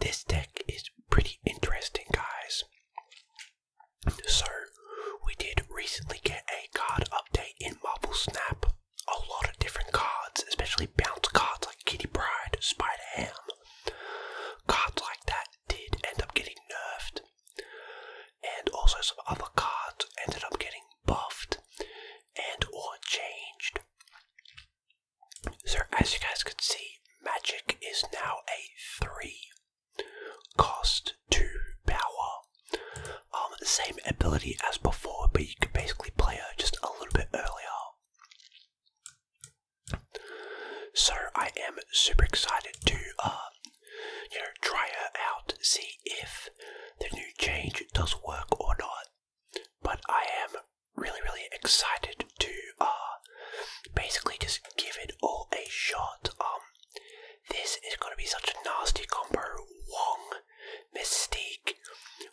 this deck is pretty interesting, guys. So, we did recently get a card update in Marble Snap. A lot of different cards, especially bounce cards like Kitty Pride, Spider Ham. Cards like that did end up getting nerfed. And also some other cards ended up getting buffed and or changed. So as you guys can see, magic is now a three cost 2 power. Um, same ability as before, but you can basically play her just a little bit earlier. So I am super excited to, uh, you know, try her out, see if the new change does work or not. But I am really, really excited to uh, basically just give it all a shot. Um, this is going to be such a nasty combo. Wong, Mystique.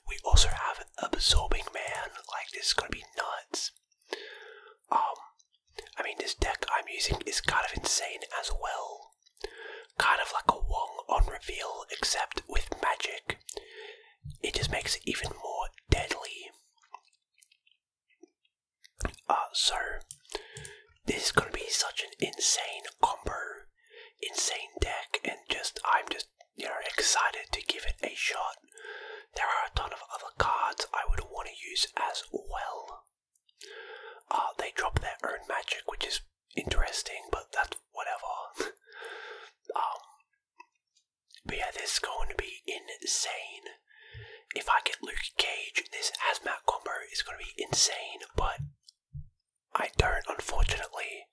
We also have Absorbing Man. Like, this is going to be nuts. Um, I mean, this deck I'm using is kind of insane as well. Kind of like a Wong on reveal, except with magic. It just makes it even more deadly. Uh, so, this is going to be such an insane combo, insane deck, and just, I'm just, you know, excited to give it a shot. There are a ton of other cards I would want to use as well. Uh, they drop their own magic, which is interesting, but that's whatever. um, but yeah, this is going to be insane. If I get Luke Cage, this hazmat combo is going to be insane, but I don't, unfortunately.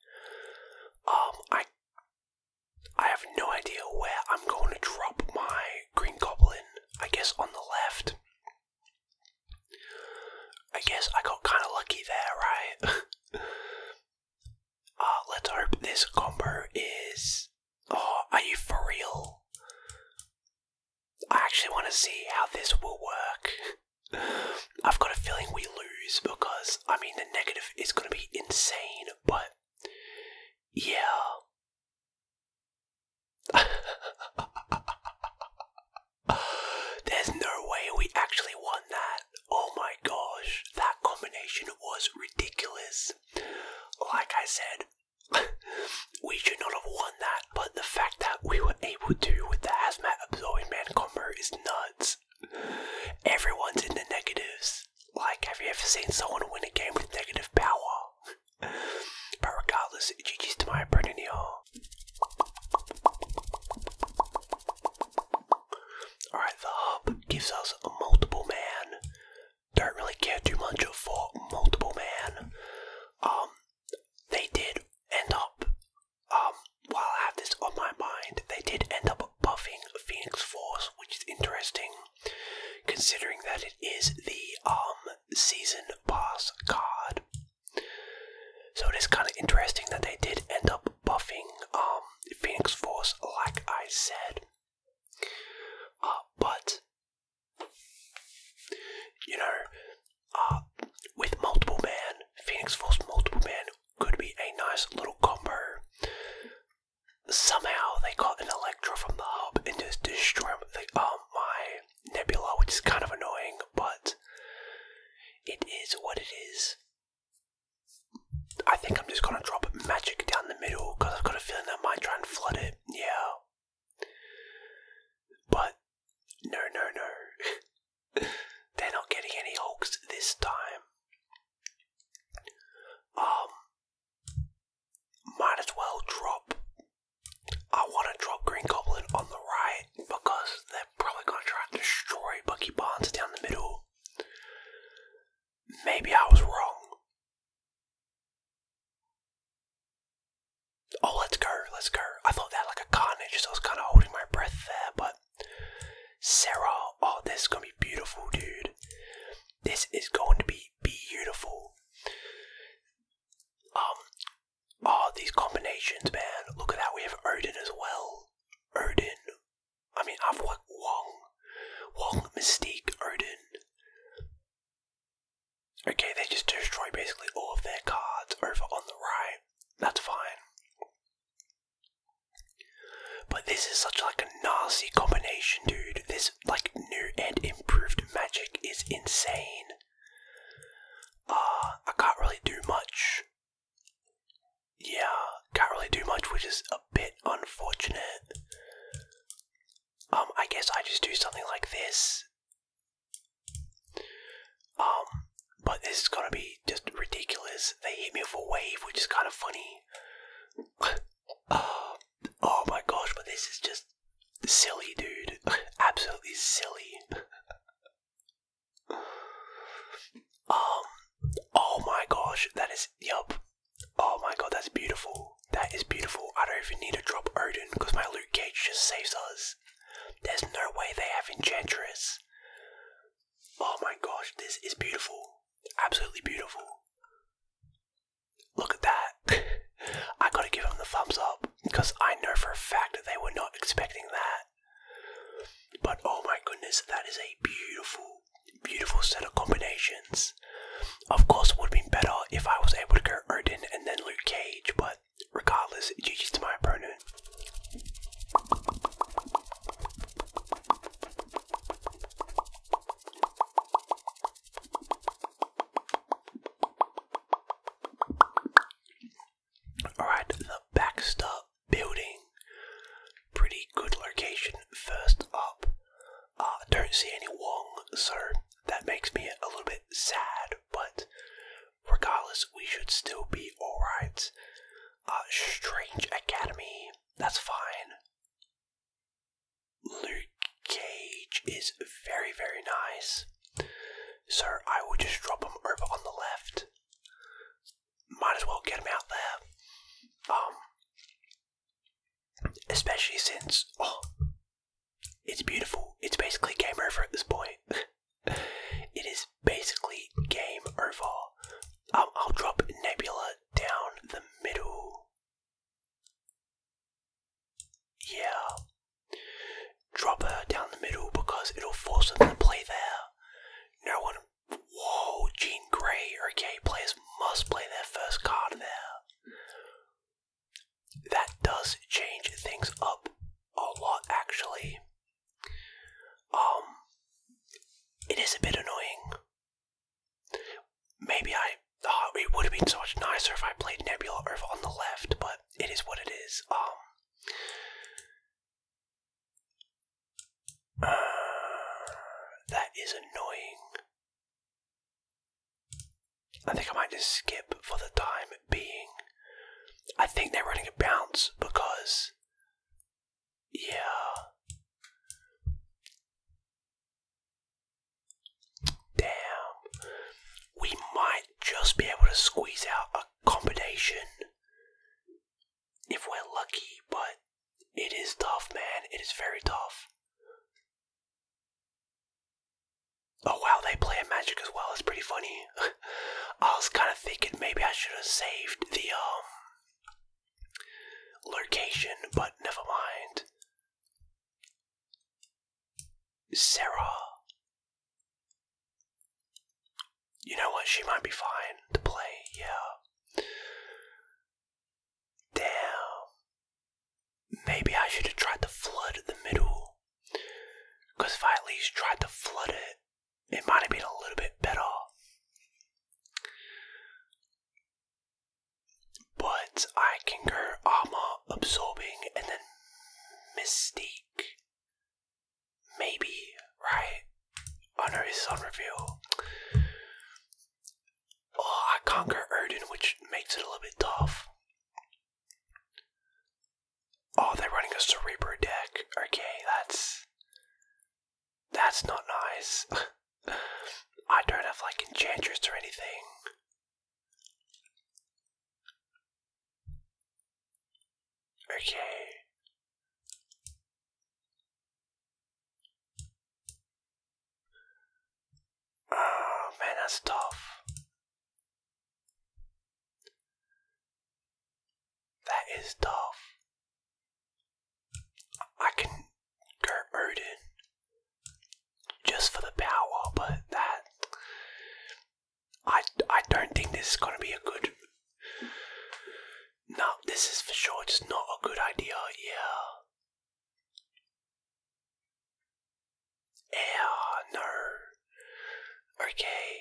Um, I, I have no idea where I'm going to drop my Green Goblin. I guess on the left. I guess I got kind of lucky there, right? Uh, let's hope this combo is. Oh, are you for real? I actually want to see how this will work. I've got a feeling we lose because, I mean, the negative is going to be insane, but yeah. There's no way we actually won that. Oh my gosh, that combination was ridiculous. Like I said, we should not have won that, but the fact that we were able to with the asthma absorbing man combo is nuts. Everyone's in the negatives. Like, have you ever seen someone win a game with negative power? but regardless, GG's to my opponent here. Alright, the hub gives us a multiple man. Don't really care too much for multiple man. Um, they did end up, um, while I have this on my mind, they did end up buffing Phoenix Force, which is interesting, considering that it is the, um, season pass card. So it is kind of interesting that they did end up buffing um, Phoenix Force, like I said. Uh, but you know, uh, with multiple man, Phoenix Force multiple man could be a nice little combo. Somehow they got an Electro from the hub and just destroyed the, um, my Nebula, which is kind of annoying, but it is what it is. I think I'm just going to drop magic down the middle because I've got a feeling that might try and flood it. Yeah. But no, no, no. They're not getting any hulks this time. Um, might as well drop. I want to drop Green Goblin on the right because they're probably going to try and destroy Bucky Barnes down the middle. Maybe I was wrong. Oh, let's go, let's go. I thought that like a carnage, so I was kind of holding my breath there, but Sarah, oh, this is gonna be beautiful, dude. This is going to be beautiful. Um, oh, these combinations, man. Look at that. We have Odin as well. Odin I mean, I've like Wong, Wong, Mystique, Odin. Okay, they just destroy basically all of their cards over on the right. That's fine. But this is such like a nasty combination, dude. This like new and improved magic is insane. Uh, I can't really do much yeah, can't really do much, which is a bit unfortunate. Um, I guess I just do something like this. Um, but this is gonna be just ridiculous. They hit me with a wave, which is kind of funny. uh, oh my gosh, but this is just silly, dude. Absolutely silly. Um, oh my gosh, that is, yup. Oh my god, that's beautiful. That is beautiful. I don't even need to drop Odin because my loot Cage just saves us. There's no way they have Enchantress. Oh my gosh, this is beautiful. Absolutely beautiful. Look at that. I gotta give them the thumbs up because I know for a fact that they were not expecting that. But oh my goodness, that is a beautiful, beautiful set of combinations. Of course, it would have been better if I was able to go Odin and then Luke Cage, but regardless, GG's to my opponent. Alright, the Baxter building. Pretty good location first up. I don't see any Wong, so that makes me a little bit sad, but regardless, we should still be alright. Uh, Strange Academy, that's fine. Luke Cage is very, very nice. So I will just drop him over on the left might as well get him out there. Um, especially since oh, it's beautiful. It's basically game over at this point. it is basically game over. Um, I'll drop Nebula down the middle. Yeah, drop her down the middle because it'll force them to play there. No one. Whoa, Jean Grey. Okay, players must play their first card there. That does change things up a lot, actually. Um, it is a bit annoying. Maybe I. Uh, it would have been so much nicer if I played Nebula over on the left, but it is what it is. Um, that is annoying. I think I might just skip for the time being. I think they're running a bounce because. Yeah. Damn. We might just be able to squeeze out a combination if we're lucky, but it is tough, man. It is very tough. Oh wow, they play magic as well. It's pretty funny. I was kind of thinking maybe I should have saved the um location, but never mind. Sarah you know what? She might be fine to play, yeah. Damn. Maybe I should have tried to flood the middle. Because if I at least tried to flood it, it might have been a little bit better. But I can go armor absorbing and then mystique. Maybe, right? Oh no, it's on reveal. Oh, I can't which makes it a little bit tough. Oh, they're running a Cerebro deck. Okay, that's. That's not nice. I don't have like enchanters or anything. Okay. Oh man, that's tough. That is tough. I can go Odin just for the power, but that I, I don't think this is going to be a good. No, this is for sure just not a good idea, yeah. Yeah, no. Okay.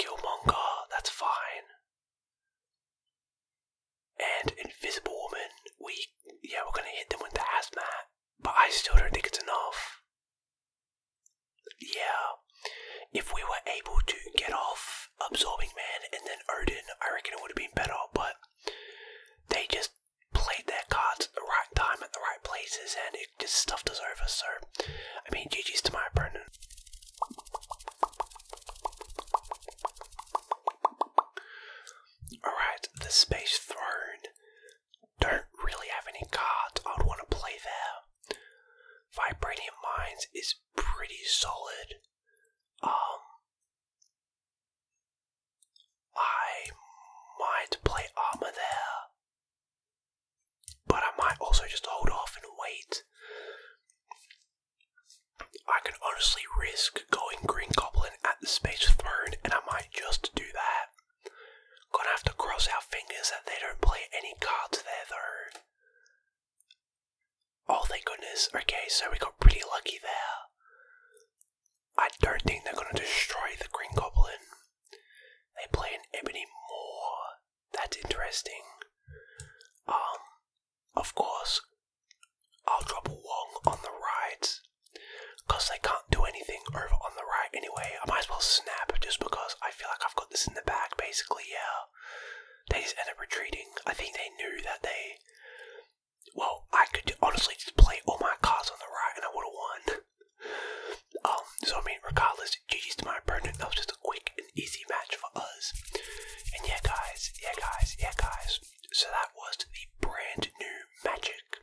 Killmonger, that's fine. And Invisible Woman, we. Yeah, we're gonna hit them with the hazmat, but I still don't think it's enough. Yeah. If we were able to get off Absorbing Man and then Odin, I reckon it would have been better, but they just played their cards at the right time at the right places and it just stuffed us over, so I mean GG's to my opponent. Alright, the Space Throne don't really have any cards I would want to play there. Vibranium Mines is pretty solid. Um, I might play armor there, but I might also just hold off and wait. I can honestly risk going Green Goblin at the Space Throne, and I might just do that. Gonna have to cross our fingers that they don't play any cards there though. Oh thank goodness. Okay, so we got pretty lucky there. I don't think they're gonna destroy the Green Goblin. They play an Ebony Moore. That's interesting. Um, of course, I'll drop Wong on the right. Because they can't do anything over on the right anyway. I might as well snap just because I feel like I've got this in the bag basically, yeah. They just end up retreating. I think they knew that they. Well, I could honestly just play all my cards on the right and I would have won. Um, so I mean, regardless, GG's to my opponent. That was just a quick and easy match for us. And yeah, guys, yeah, guys, yeah, guys. So that was the brand new Magic